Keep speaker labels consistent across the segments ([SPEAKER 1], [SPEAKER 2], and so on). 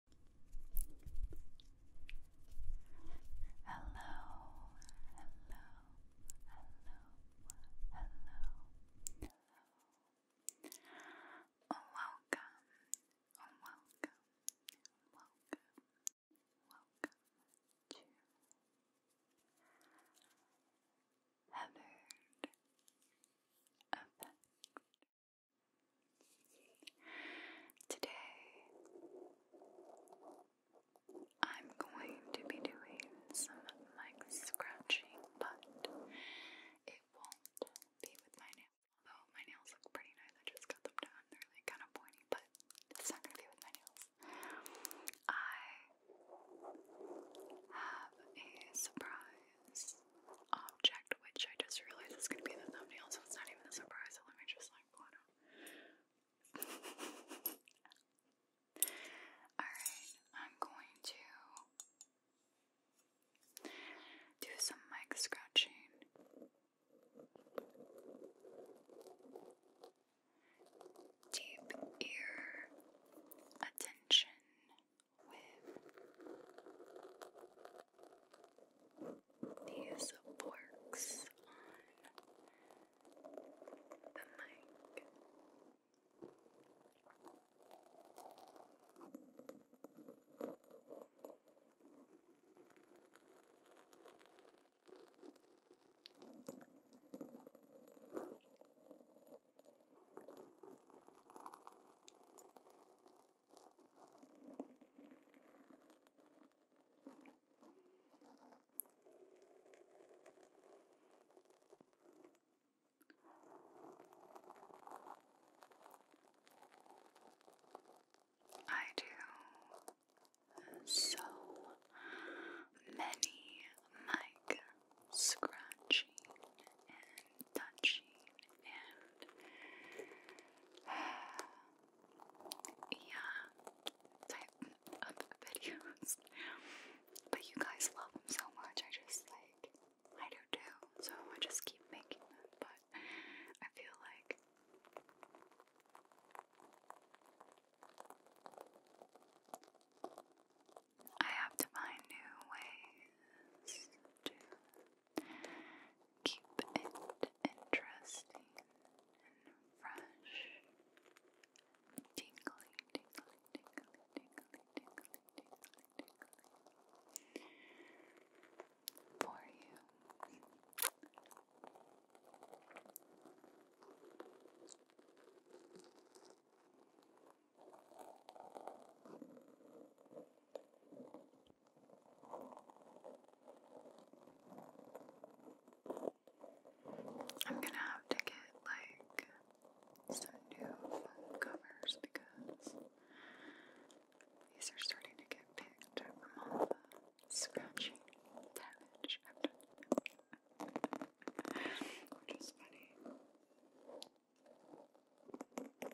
[SPEAKER 1] Hello, hello, hello, hello, Welcome, welcome, welcome, welcome to Heathered Today, I'm going to be doing some like scratching, but it won't be with my nails. Although my nails look pretty nice, I just got them done. They're like kind of pointy, but it's not going to be with my nails. I have a surprise object, which I just realized is going to be the thumbnail, so it's not even a surprise. So let me just like Alright, I'm going to do some mic scratching. Deep ear attention with these forks on the mic. I do so many mic scratching and touching and yeah, type of videos. But you guys love them so much, I just like, I do too, so I just keep making them, but I feel like I have to find new ways to Keep it interesting and fresh. Tingly, tingly, tingly, tingly, tingly, tingly, tingly. For you. I'm gonna have to get like some new phone covers because these are starting to get picked up from all the scratching damage Which is funny.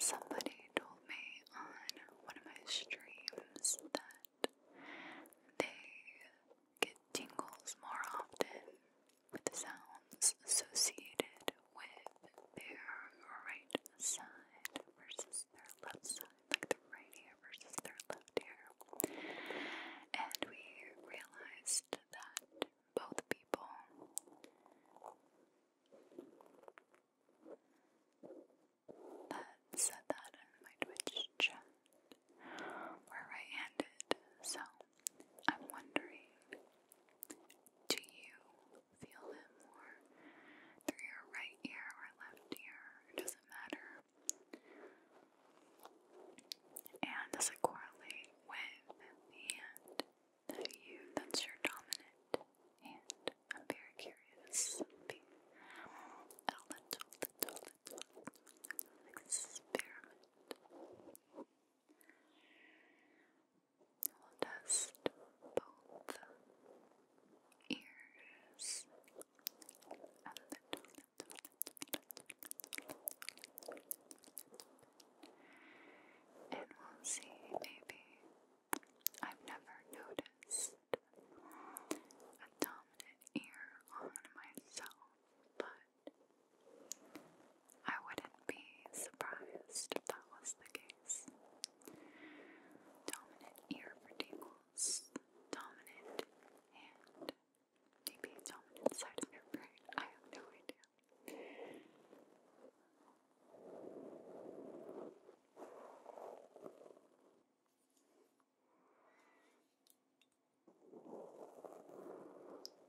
[SPEAKER 1] Somebody told me on one of my streams that they get tingles more often with the sounds associated with their right side versus their left side, like the right ear versus their left ear. And we realized that both people that said that in my Twitch chat were right handed, so I'm wondering, do you feel it more through your right ear or left ear? It doesn't matter. And does it correlate with the hand that you, that's your dominant hand? I'm very curious. a little, little, little experiment. We'll test both ears and we'll see, maybe I've never noticed a dominant ear on myself, but I wouldn't be surprised if that was the case. Dominant ear for dominant hand, maybe dominant side of your brain. I have no idea.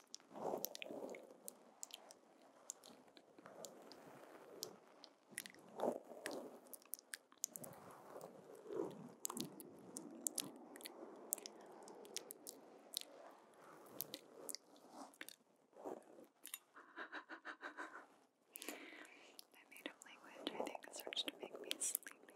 [SPEAKER 1] I made up language, I think, starts to make me sleepy.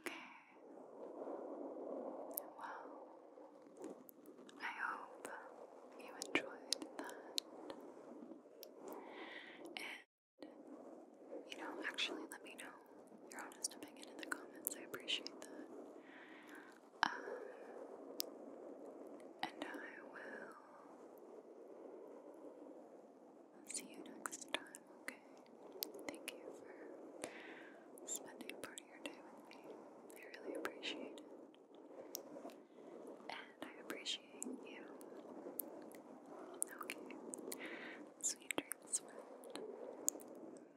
[SPEAKER 1] Okay. Well, I hope you enjoyed that. And, you know, actually let me know your honest opinion in the comments. I appreciate that and I will see you next time, okay? Thank you for spending part of your day with me. I really appreciate it. And I appreciate you. Okay. Sweet dreams, friend.